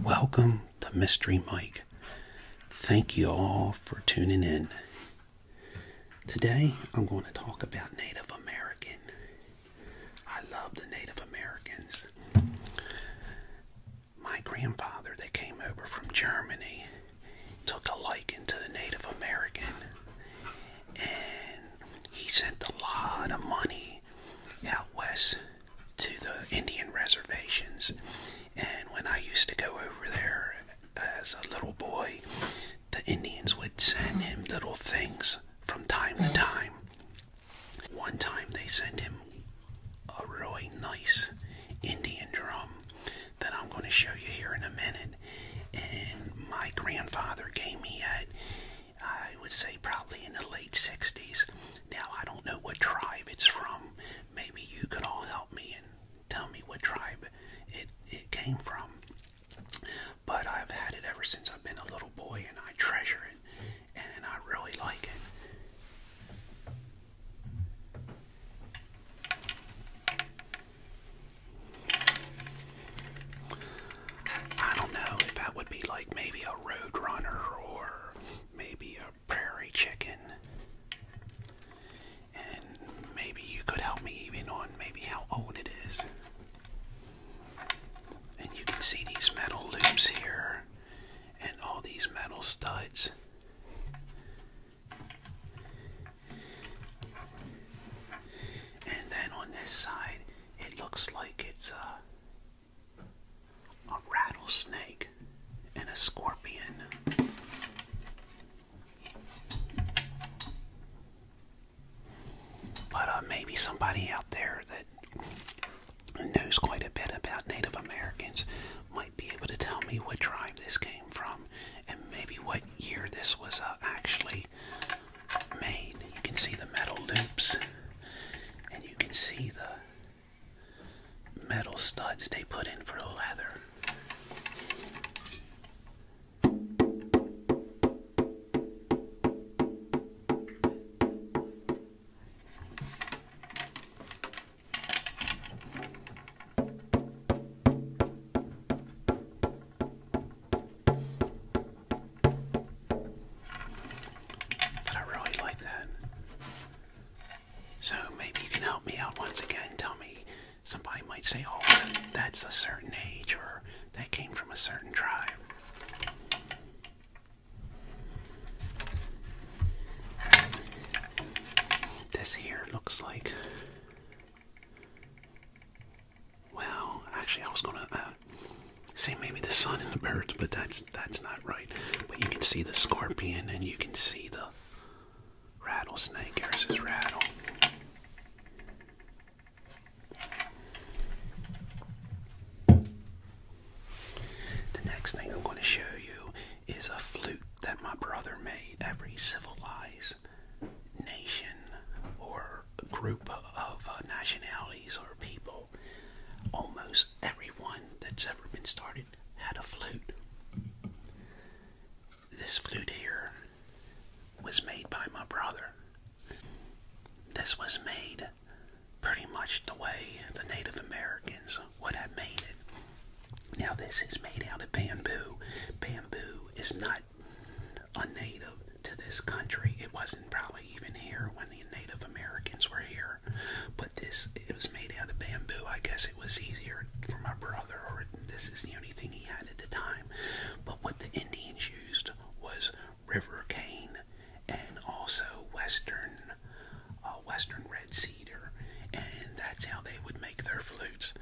Welcome to Mystery Mike. Thank you all for tuning in. Today I'm going to talk about Native American. I love the Native Americans. My grandfather that came over from Germany took a liking to the Native American and he sent a lot of money out west to the Indian reservations. And when I used to go over there as a little boy, the Indians would send him little things from time to time. One time they sent him a really nice Indian drum that I'm going to show you here in a minute. And my grandfather gave me at, I would say, probably in the late late 60s. Now, I don't know what tribe it's from. Maybe you could all help me and tell me what tribe it, it came from. But I've had it ever since I've been a little boy and I treasure it and I really like it. I don't know if that would be like maybe a road runner or maybe a prairie chicken. And maybe you could help me even on maybe how old it is. And you can see these metal loops here and all these metal studs. And then on this side, it looks like it's uh a rattlesnake, and a scorpion. But uh, maybe somebody out there that knows quite a bit about Native Americans might be able to tell me what tribe this came from and maybe what year this was uh, actually made. You can see the metal loops and you can see the metal studs they put in for the leather. I really like that. So maybe you can help me out once again. Tell me, somebody might say, oh, that's a certain age or that came from a certain tribe. This here looks like. Well, actually, I was gonna uh, say maybe the sun and the birds, but that's that's not right. But you can see the scorpion and you can see the rattlesnake. Here's his rattle. The next thing I'm going to show you is a flute that my brother made. Every civilized nation or group of uh, nationalities or people Almost everyone that's ever been started had a flute. This flute here was made by my brother. This was made pretty much the way the Native Americans would have made it. Now, this is made out of bamboo. Bamboo is not a native to this country. It wasn't probably even here when the Native Americans were here. But this, it was made out of bamboo. I guess it was easier for my brother, or this is the only thing he had at the time. But what the Indians used was river cane and also western, uh, western red cedar, and that's how they would make their flutes.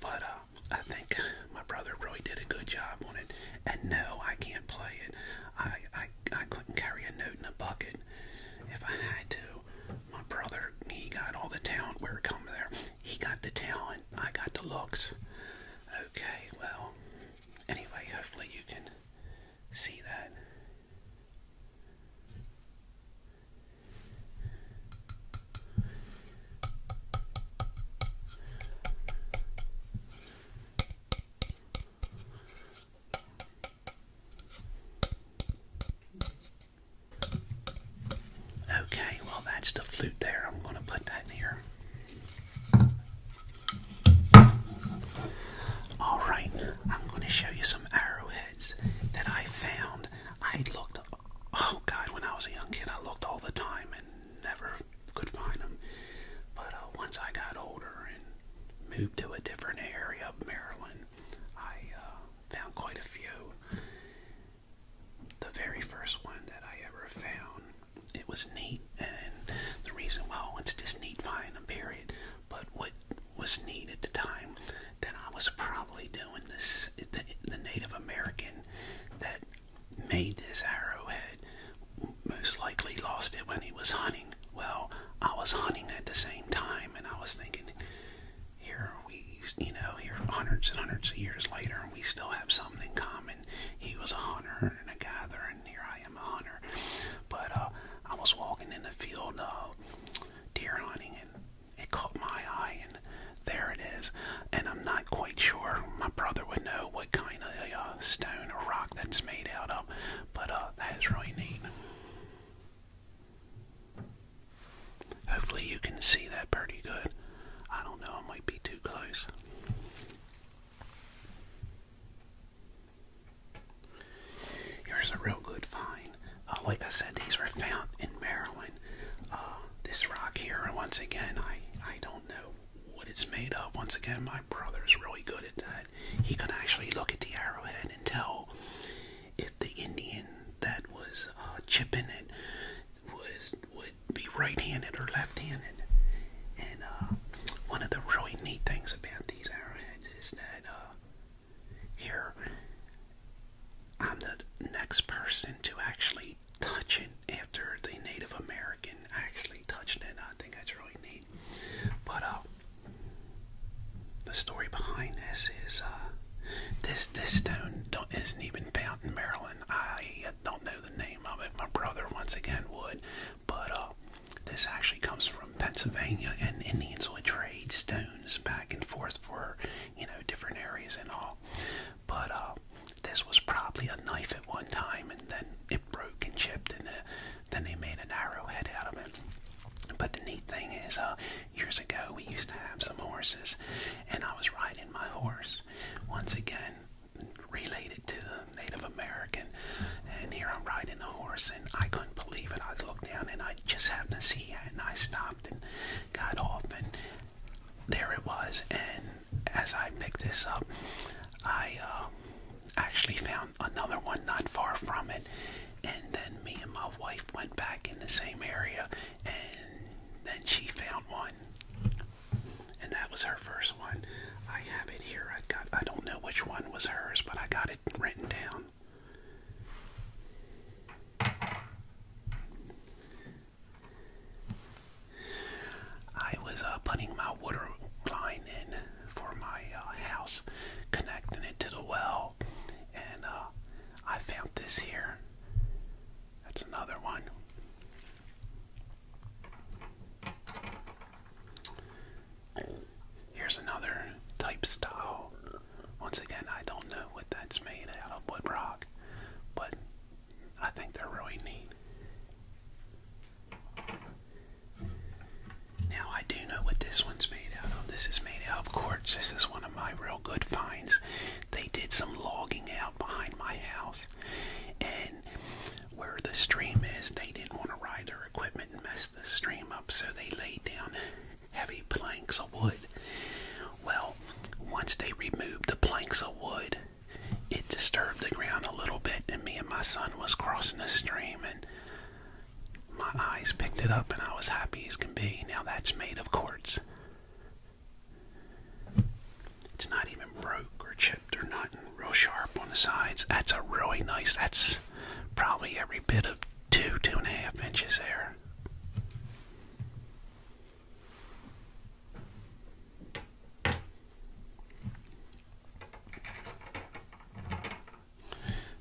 But uh, I think my brother really did a good job on it. And no, I can't play it. I I I couldn't carry a note in a bucket if I had to. My brother, he got all the talent. Where it comes there, he got the talent. I got the looks. Okay, well, anyway, hopefully you can see that. Okay, well, that's the flute there. I'm going to put that here. Alright, I'm going to show you some arrowheads that I found. I looked, oh god, when I was a young kid, I looked all the time and never could find them. But uh, once I got older and moved to a different area of Maryland, I uh, found quite a few. The very first one that I ever found, it was neat, and the reason why it's just neat find them, period. But what was neat at the time that I was probably doing this, the Native American that made this arrowhead most likely lost it when he was hunting well, I was hunting at the same time, and I was thinking, here we, you know, here hundreds and hundreds of years later, and we still have something in common. He was a hunter and a gatherer, and here I am a hunter. But uh, I was walking in the field uh, deer hunting, and it caught my eye, and there it is. And I'm not quite sure. My brother would know what kind of uh, stone or rock that's made out of, but uh, that is really neat. Hopefully, you can see that pretty good. I don't know, I might be too close. Here's a real good find. Uh, like I said, these were found in Maryland. Uh, this rock here, and once again, I I don't know what it's made of. Once again, my brother is really good at that that he could actually look at the arrowhead and tell if the Indian that was uh, chipping it was would be right-handed or left-handed. And uh, one of the really neat things about these arrowheads is that uh, here I'm the next person to actually touch it after the Native American actually touched it. I think that's really neat. But uh, the story behind this is uh, this this stone isn't even found in Maryland. I uh, don't know the name of it. My brother once again would, but this actually comes from Pennsylvania, and Indians would trade stones back and forth for you know different areas and all. But this was probably a knife at one time, and then it broke and chipped, in there. Then they made an arrow head out of it. But the neat thing is, uh, years ago we used to have some horses, and I was riding my horse. Once again, related to the Native American, and here I'm riding a horse, and I couldn't believe it. I looked down, and I just happened to see it, and I stopped and got off, and there it was. And as I picked this up, I uh, actually found another one not far from it. And then me and my wife went back in the same area, and then she found one. And that was her first one. I have it here. I got. I don't know which one was hers, but I got it written down. I was uh, putting my water line in for my uh, house, connecting it to the well and uh, I found this here. That's another one. Here's another type style. Once again, I don't know what that's made out of wood rock, but I think they're really neat. Now I do know what this one's made out of. This is made out of quartz. This is one of my real good finds. They did some logging out behind my house, and where the stream is, they didn't want to ride their equipment and mess the stream up, so they laid down heavy planks of wood. Well, once they removed the planks of wood, it disturbed the ground a little bit, and me and my son was crossing the stream, and my eyes picked it up and I was happy as can be. Now that's made of quartz. It's not even broke or chipped or nothing. Real sharp on the sides. That's a really nice, that's probably every bit of two, two and a half inches there.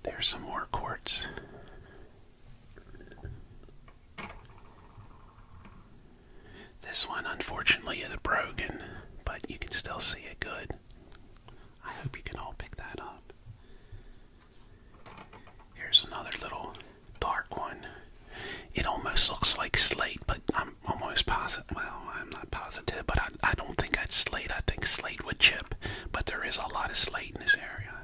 There's some more quartz. This one, unfortunately, is broken, but you can still see it good. I hope you can all pick that up. Here's another little dark one. It almost looks like slate, but I'm almost positive. Well, I'm not positive, but I, don't think that's slate. I think slate would chip, but there is a lot of slate in this area.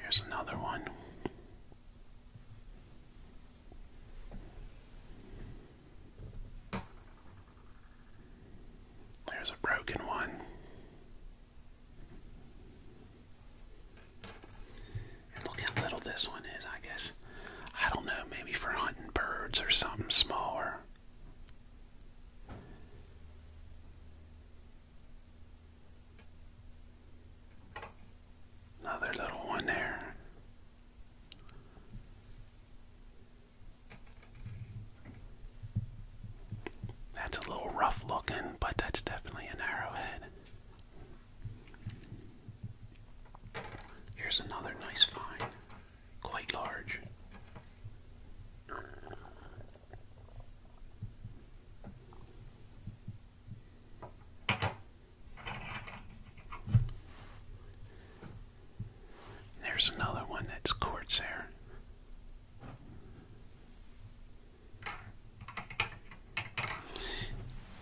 There's another one. There's a broken one look how little this one is, I guess. I don't know, maybe for hunting birds or something smaller. Another little one there. That's a little rough looking, but that's definitely an arrowhead. Here's another nice find, quite large. There's another one that's quartz there.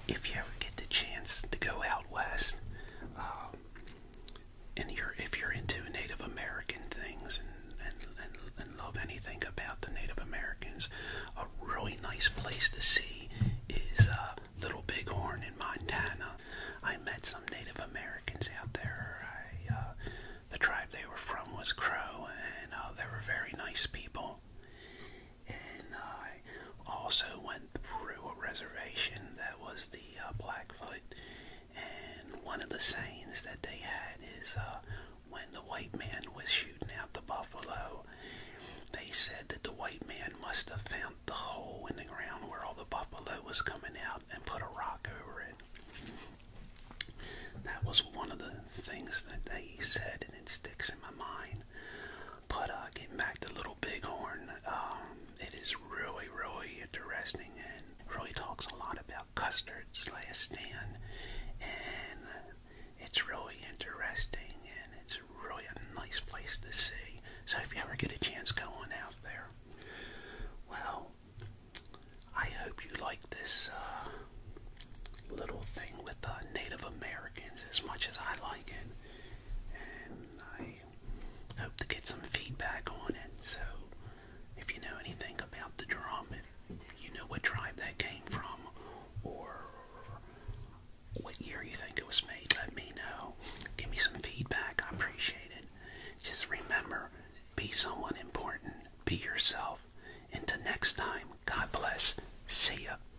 If you ever get the chance to go out west, um, and you're if you're into Native American things and, and, and, love anything about the Native Americans, a really nice place to see is uh, Little Bighorn in Montana. I met some Native Americans out there. Uh, the tribe they were from was Crow, and uh, they were very nice people and I also went through a reservation that was the uh, Blackfoot. And one of the sayings that they had is uh, when the white man was shooting out the buffalo, they said that the white man must have found the hole in the ground where all the buffalo was coming out and put a rock over it. That was one of the things that they said, and it sticks in my mind. But uh, getting back to Little Bighorn, um, it is really, really interesting and really talks a lot about Custard's last stand. And it's really interesting and it's really a nice place to see. So if you ever get a chance going out there, well, I hope you like this uh, little thing with uh, Native Americans as much as I like it and I hope to get some feedback on it. So, if you know anything about the drum, if you know what tribe that came from, or what year you think it was made, let me know. Give me some feedback, I appreciate it. Just remember, be someone important, be yourself. Until next time, God bless. See ya.